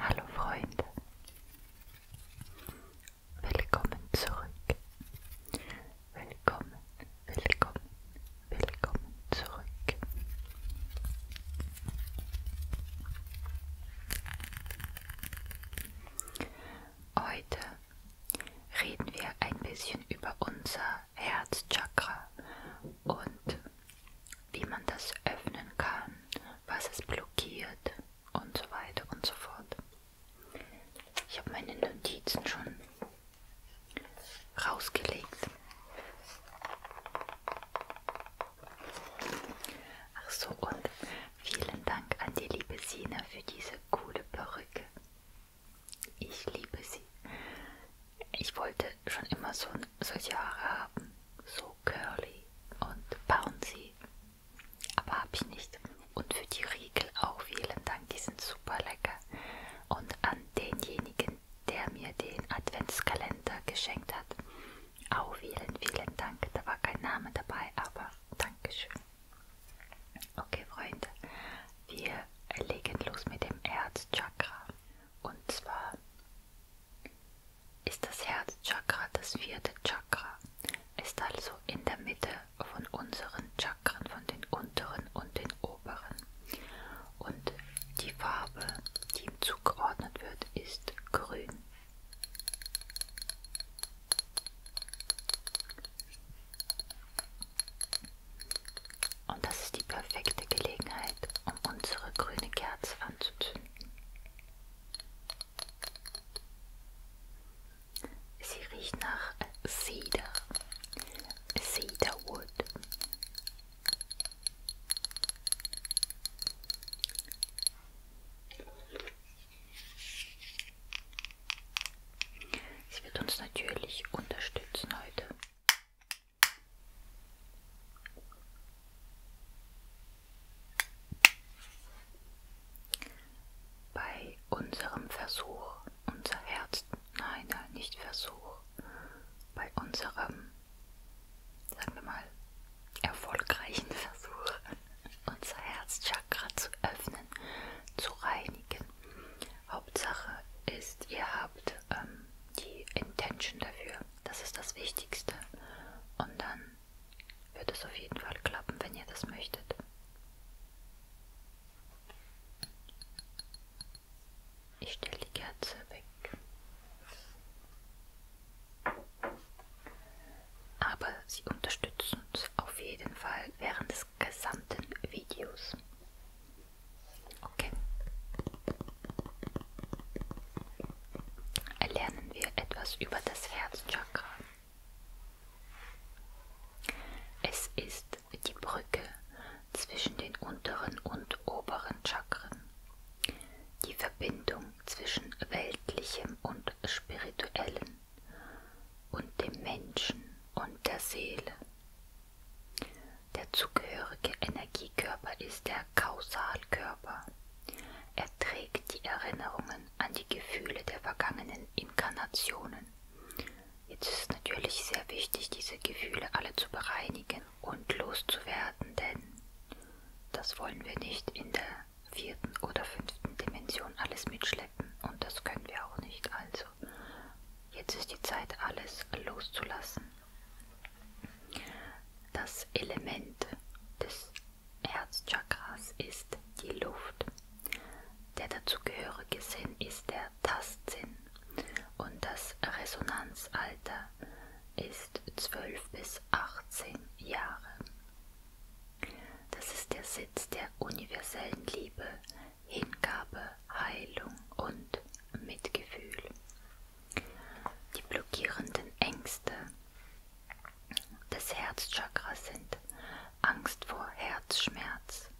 Hallo Freunde, willkommen zurück, willkommen, willkommen, willkommen zurück. Heute reden wir ein bisschen über unser Herzchakra und wie man das öffnen kann, was es blockiert und so weiter und so fort. Ich habe meine Notizen schon rausgelegt. Ach so, und vielen Dank an die liebe Sina für diese coole Perücke. Ich liebe sie. Ich wollte schon immer so, solche Haare haben. So curly und bouncy. Aber habe ich nicht. Und für die Riegel auch vielen Dank. Die sind super lecker. Und an denjenigen, der mir den Adventskalender geschenkt hat. Auch vielen, vielen Dank. Da war kein Name dabei, aber Dankeschön. Okay, Freunde, wir legen los mit dem Herzchakra. Und zwar ist das Herzchakra das vierte Chakra, ist also in der Mitte von unseren Chakren, von den unteren und den oberen. Und die Farbe, die ihm zugeordnet wird, ist grün. Und das ist die perfekte Gelegenheit, um unsere grüne Kerze anzuzünden. Sie riecht nach Cedar, Cedarwood. Sie wird uns natürlich unterstützen heute. Bei unserem Versuch, unser Herz, nein, nein, nicht Versuch, bei unserem, sagen wir mal, erfolgreichen Versuch, unser Herzchakra zu öffnen, zu reinigen, Hauptsache ist, ihr habt ähm, die Intention dafür. Das ist das Wichtigste. Und dann wird es auf jeden Fall klappen, wenn ihr das möchtet. Ich stelle die Kerze weg. Aber sie unterstützen uns auf jeden Fall während des des gesamten Videos. Okay. Lernen wir etwas über das Herzchakra. Es ist die Brücke zwischen den unteren und oberen Chakren, die Verbindung zwischen weltlichem und spirituellem und dem Menschen und der Seele. Der zugehörige Energiekörper ist der Kausalkörper. Er trägt die Erinnerungen an die Gefühle der vergangenen Inkarnationen. Jetzt ist natürlich sehr wichtig, diese Gefühle alle zu bereinigen und loszuwerden, denn das wollen wir nicht in der vierten oder fünften Dimension alles mitschleppen stecken und das können wir auch nicht. Also jetzt ist die Zeit, alles loszulassen. Das Element des Herzchakras ist die Luft. Der dazugehörige Sinn ist der Tastsinn und das Resonanzalter ist 12 bis 18 Jahre. Das ist der Sitz der universellen Liebe, Hingabe, Heilung und Mitgefühl. Die blockierenden Ängste des Herzchakras sind Angst vor Herzschmerz,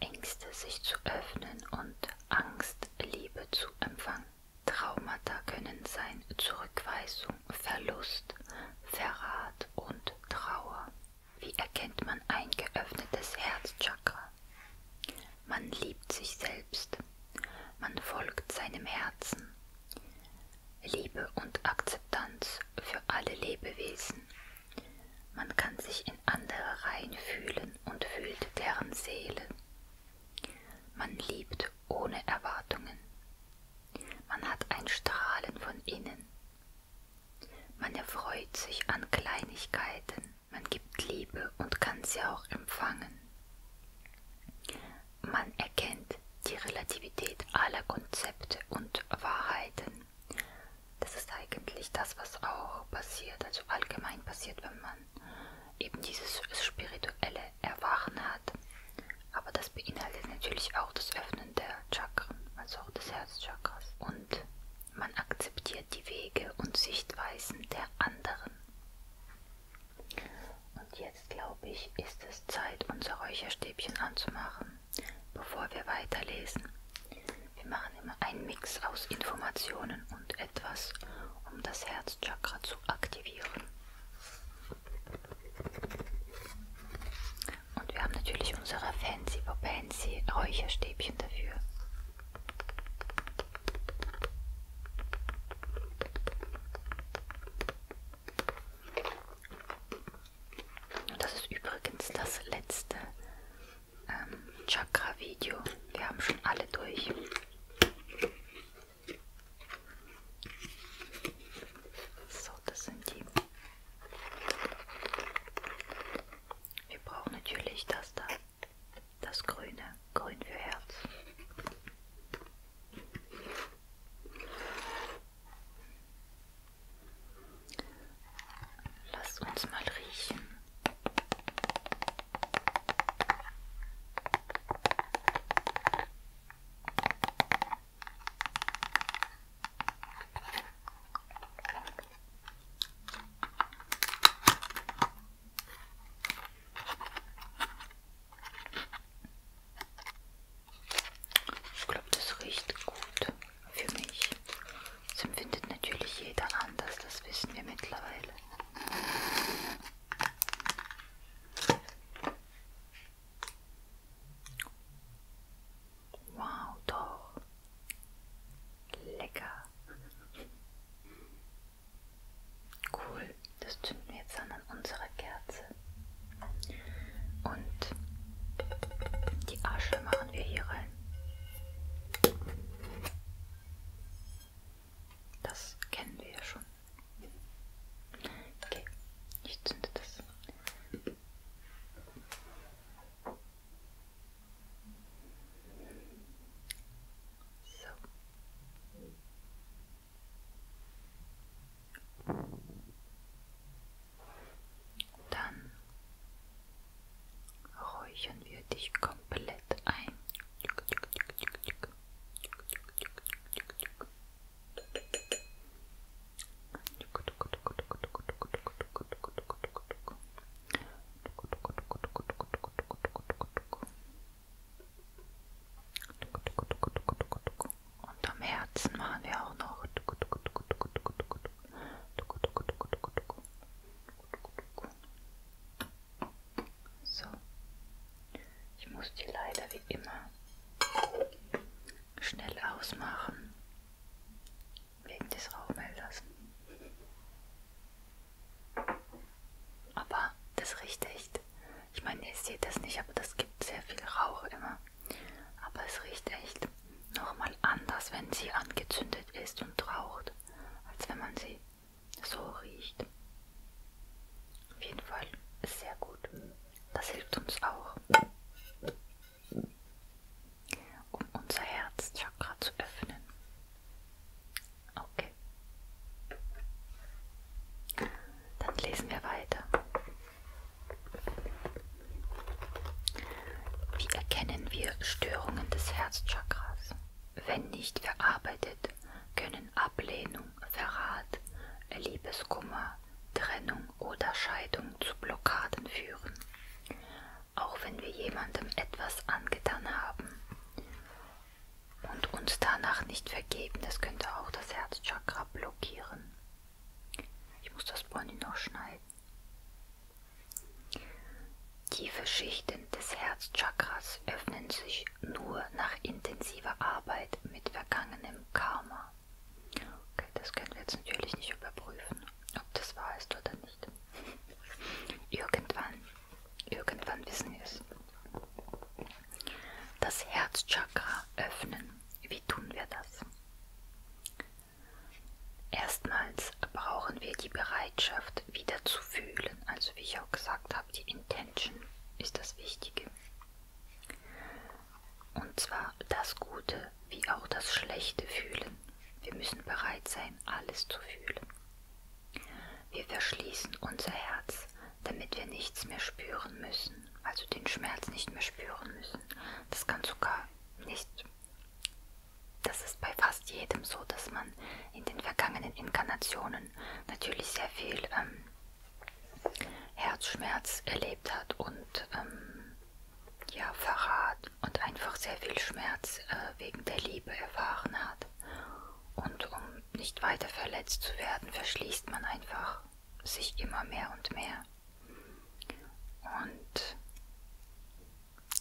Ängste sich zu öffnen und Angst, Liebe zu empfangen. Traumata können sein Zurückweisung, Verlust, Verrat und Trauer. Wie erkennt man ein geöffnetes Herzchakra? Man liebt sich selbst. Man folgt seinem Herzen. Liebe und Akzeptanz für alle Lebewesen. Man kann sich in andere reinfühlen und fühlt deren Seele. Man liebt ohne Erwartungen. Man hat ein Strahlen von innen. Man erfreut sich an Kleinigkeiten, man gibt Liebe und kann sie auch empfangen. Man erkennt die Relativität aller Konzepte und Wahrheiten. Das ist eigentlich das, was auch passiert, also allgemein passiert, wenn man eben dieses spirituelle Erwachen hat. Aber das beinhaltet natürlich auch das Öffnen der Chakren, also auch des Herzchakras. Und man akzeptiert die Wege und Sichtweisen der anderen. Und jetzt glaube ich, ist es Zeit, unser Räucherstäbchen anzumachen, bevor wir weiterlesen. Wir machen immer einen Mix aus Informationen und etwas, um das Herzchakra zu aktivieren. Und wir haben natürlich unsere Fancy Papancy Räucherstäbchen dafür. Und das ist übrigens das letzte ähm, Chakra-Video. Wir haben schon alle durch. So, das sind die wir brauchen natürlich das da, das Grüne, Grün für Herz. Lasst uns mal riechen. Ich glaube, das riecht gut für mich. Das empfindet natürlich jeder anders, das wissen wir mittlerweile. Wow, doch. Lecker. Cool, das zünden wir jetzt an, an unserer Kerze. Und die Asche machen wir hier rein. Das kennen wir ja schon. Okay, ich zünde das so. Dann räuchern wir dich komplett ein. Und am Herzen machen wir auch noch. So, ich muss die leider wie immer schnell ausmachen wegen des Rauchmelders. Aber das riecht echt. Ich meine, ihr seht das nicht, aber das gibt sehr viel Rauch immer. Aber es riecht echt nochmal anders, wenn sie angezündet ist und raucht, als wenn man sie so riecht. Auf jeden Fall sehr gut. Das hilft uns auch, um unser Herzchakra zu öffnen. Okay. Dann lesen wir weiter. Wie erkennen wir Störungen des Herzchakras? Wenn nicht verarbeitet, können Ablehnung, Verrat, Liebeskummer, Trennung oder Scheidung zu Blockaden führen, auch wenn wir jemandem etwas angetan haben und uns danach nicht vergeben. Das könnte auch das Herzchakra blockieren. Ich muss das Pony noch schneiden. Tiefe Schichten des Herzchakras öffnen sich nur nach intensiver Arbeit mit vergangenem Karma war. Okay, das können wir jetzt natürlich nicht überprüfen, ob das wahr ist oder nicht. Irgendwann, irgendwann wissen wir es. Das Herzchakra öffnen. Wie tun wir das? Erstmals brauchen wir die Bereitschaft, wieder zu fühlen. Also wie ich auch gesagt habe, die Intention ist das Wichtige. Und zwar das Gute wie auch das Schlechte fühlen. Wir müssen bereit sein, alles zu fühlen. Wir verschließen unser Herz, damit wir nichts mehr spüren müssen, also den Schmerz nicht mehr spüren müssen. Das kann sogar nicht. Das ist bei fast jedem so, dass man in den vergangenen Inkarnationen natürlich sehr viel ähm, Herzschmerz erlebt hat und ähm, ja, Verrat und einfach sehr viel Schmerz äh, wegen der Liebe erfahren hat. Und um nicht weiter verletzt zu werden, verschließt man einfach sich immer mehr und mehr. Und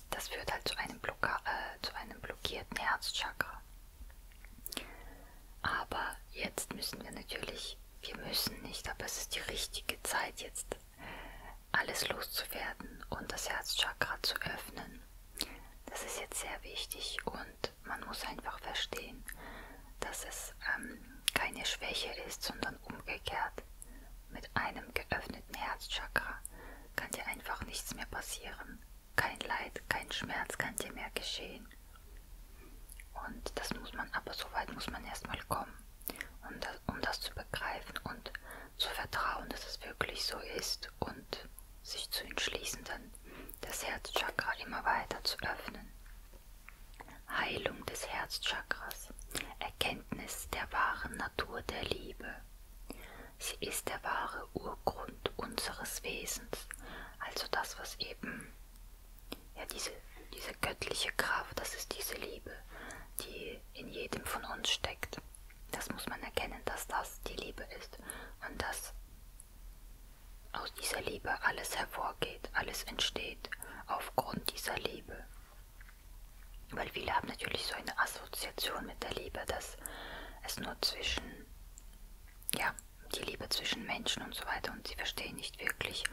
das führt halt zu einem, Blocka äh, zu einem blockierten Herzchakra. Aber jetzt müssen wir natürlich, wir müssen nicht, aber es ist die richtige Zeit jetzt, alles loszuwerden und das Herzchakra zu öffnen. Das ist jetzt sehr wichtig und man muss einfach verstehen, dass es ähm, keine Schwäche ist, sondern umgekehrt. Mit einem geöffneten Herzchakra kann dir einfach nichts mehr passieren. Kein Leid, kein Schmerz kann dir mehr geschehen. Und das muss man, aber so weit muss man erstmal kommen, um das, um das zu begreifen und zu vertrauen, dass es wirklich so ist und sich zu entschließen, dann das Herzchakra immer weiter zu öffnen. Heilung des Herzchakras, Erkenntnis der wahren Natur der Liebe. Sie ist der wahre Urgrund unseres Wesens, also das, was eben ja, diese, diese göttliche Kraft, das ist diese Liebe, die in jedem von uns steckt. Das muss man erkennen, dass das die Liebe ist und dass aus dieser Liebe alles hervorgeht, alles entsteht aufgrund dieser Liebe. Weil viele haben natürlich so eine Assoziation mit der Liebe, dass es nur zwischen, ja, die Liebe zwischen Menschen und so weiter und sie verstehen nicht wirklich,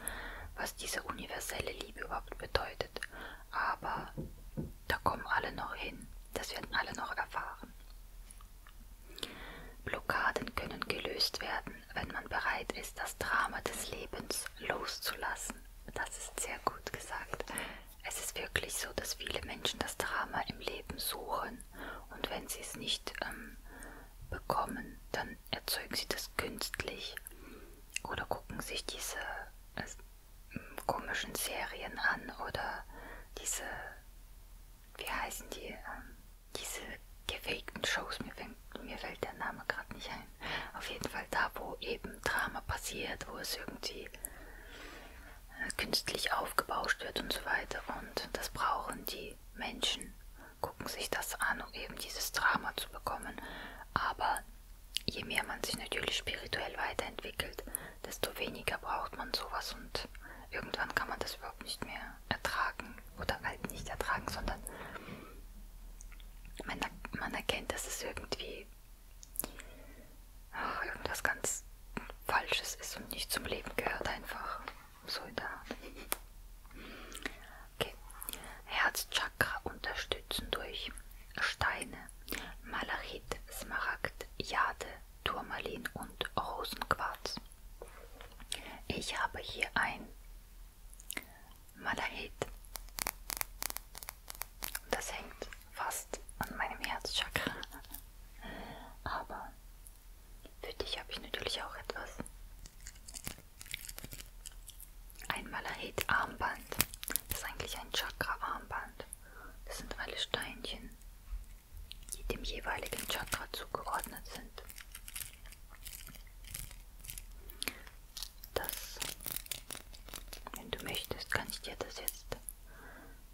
was diese universelle Liebe überhaupt bedeutet. Aber da kommen alle noch hin, das werden alle noch erfahren. Blockaden können gelöst werden, wenn man bereit ist, das Drama des Lebens loszulassen. Das ist sehr gut gesagt. Es ist wirklich so, dass viele Menschen das Drama im Leben suchen und wenn sie es nicht ähm, bekommen, dann erzeugen sie das künstlich oder gucken sich diese äh, komischen Serien an oder diese, wie heißen die, äh, diese gefakten Shows, mir, mir fällt der Name gerade nicht ein. Auf jeden Fall da, wo eben Drama passiert, wo es irgendwie äh, künstlich aufgebauscht wird und so weiter und das brauchen die die Menschen gucken sich das an, um eben dieses Drama zu bekommen. Aber je mehr man sich natürlich spirituell weiterentwickelt, desto weniger braucht man sowas und irgendwann kann man das überhaupt nicht mehr ertragen. Oder halt nicht ertragen, sondern man, man erkennt, dass es irgendwie ach, irgendwas ganz Falsches ist und nicht zum Leben gehört einfach. Soldat. Okay. Herzchakra unterstützen durch Steine, Malachit, Smaragd, Jade, Turmalin und Rosenquarz. Ich habe hier ein Malachit. Das hängt fast an meinem Herzchakra. Aber für dich habe ich natürlich auch etwas. Ein Malahit Armband. Das ist eigentlich ein Chakra Armband. Das sind alle Steinchen, die dem jeweiligen Chakra zugeordnet sind. Das, wenn du möchtest, kann ich dir das jetzt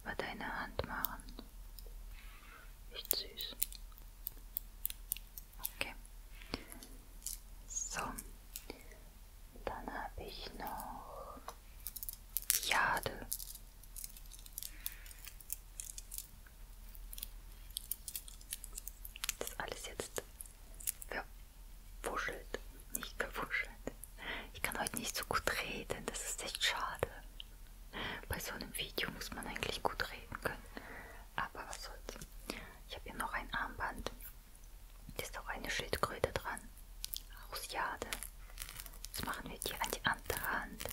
bei deiner Hand machen. Echt süß. Okay. So. Dann habe ich noch Jade. Das ist alles jetzt verwuschelt. Nicht verwuschelt. Ich kann heute nicht so gut reden. Das ist echt schade. Bei so einem Video muss man eigentlich gut reden können. Aber was soll's. Ich habe hier noch ein Armband. Da ist auch eine Schildkröte dran. Aus Jade. Das machen wir dir an die andere Hand.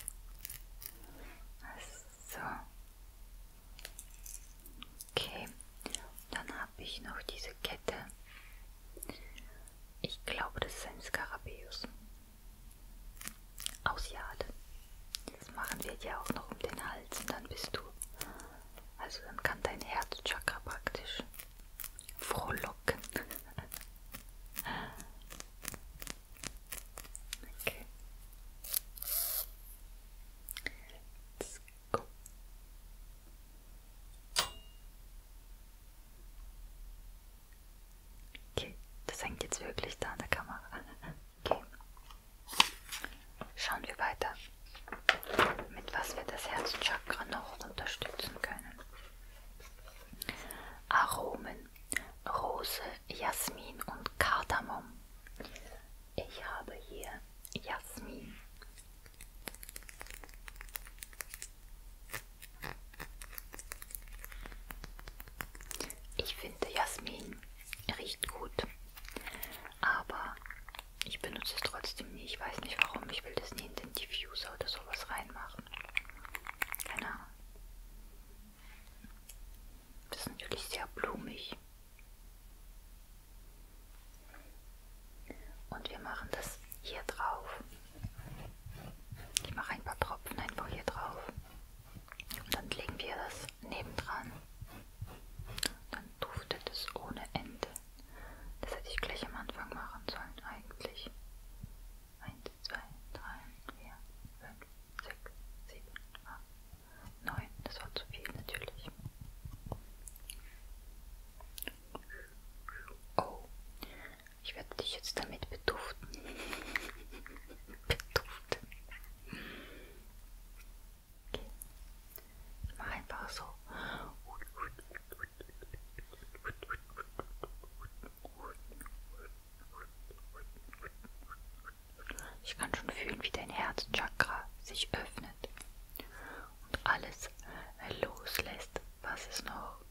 So. Okay. Dann habe ich noch diese Kette. Ich glaube, das ist ein Skarabäus aus Jade. Das machen wir dir auch noch um den Hals und dann bist du. Also dann kann dein Herzchakra praktisch frohlocken. okay. Let's go. Okay, das hängt jetzt wirklich da an der Kamera. Okay. Schauen wir weiter, mit was wir das Herzchakra noch unterstützen können. Aromen, Rose, Jasmin und Kardamom. Ich habe hier Jasmin. Ich finde Jasmin riecht gut, aber ich benutze es trotzdem nie. Ich weiß nicht warum. Ich will das nie in den Diffuser oder sowas reinmachen. Keine Ahnung. Das ist natürlich sehr blumig. Und wir machen das hier drauf. Ich mache ein paar Tropfen einfach hier drauf und dann legen wir das nebendran. Dann duftet es ohne Ende. Das hätte ich gleich am Anfang machen sollen eigentlich. 1, 2, 3, 4, 5, 6, 7, 8, 9. Das war zu viel natürlich. Oh, ich werde dich jetzt damit beduften. beduften. Okay. Ich mache einfach so. Ich kann schon fühlen, wie dein Herzchakra sich öffnet und alles loslässt, was es noch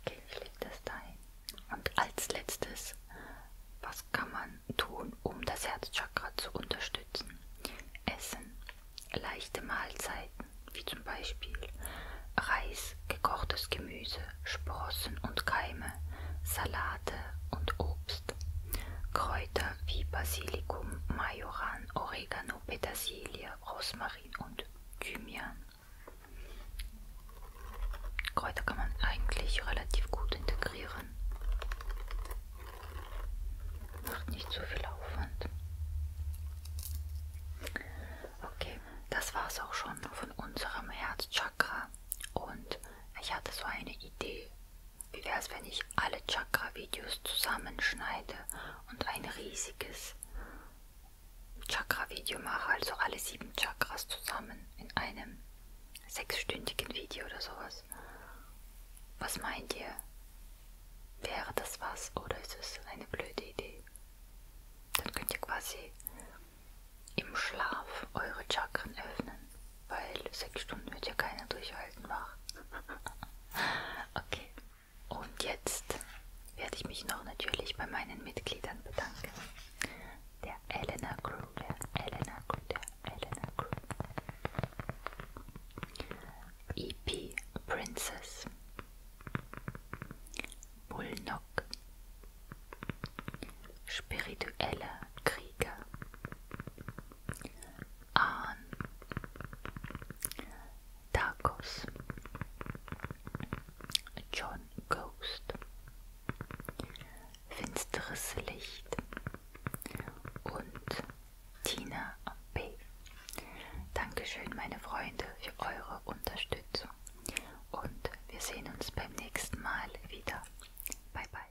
Okay, ich lege das dahin. Und als letztes, was kann man tun, um das Herzchakra zu unterstützen? Essen, leichte Mahlzeiten, wie zum Beispiel Reis, gekochtes Gemüse, Sprossen und Keime, Salate und Obst, Kräuter. Kräuter wie Basilikum, Majoran, Oregano, Petersilie, Rosmarin und Thymian. Kräuter kann man eigentlich relativ gut integrieren. Macht nicht so viel Aufwand. Okay, das war es auch schon von unserem Herzchakra. Und ich hatte so eine Idee, wie wäre es, wenn ich alle Chakra-Videos zusammenschneide und ein riesiges Chakra-Video mache, also alle sieben Chakras zusammen in einem sechsstündigen Video oder sowas? Was meint ihr? Wäre das was oder ist es eine blöde Idee? Dann könnt ihr quasi im Schlaf eure Chakren öffnen weil sechs Stunden wird ja keiner durchhalten machen. okay. Und jetzt werde ich mich noch natürlich bei meinen Mitgliedern bedanken. Der Elena Crew, der Elena Crew, der Elena Crew. EP Princess. Bullnock. Spiritueller Krieger an Tacos. John Ghost. Finsteres Licht und Tina B. Dankeschön, meine Freunde, für eure Unterstützung. Und wir sehen uns beim nächsten Mal wieder. Bye, bye.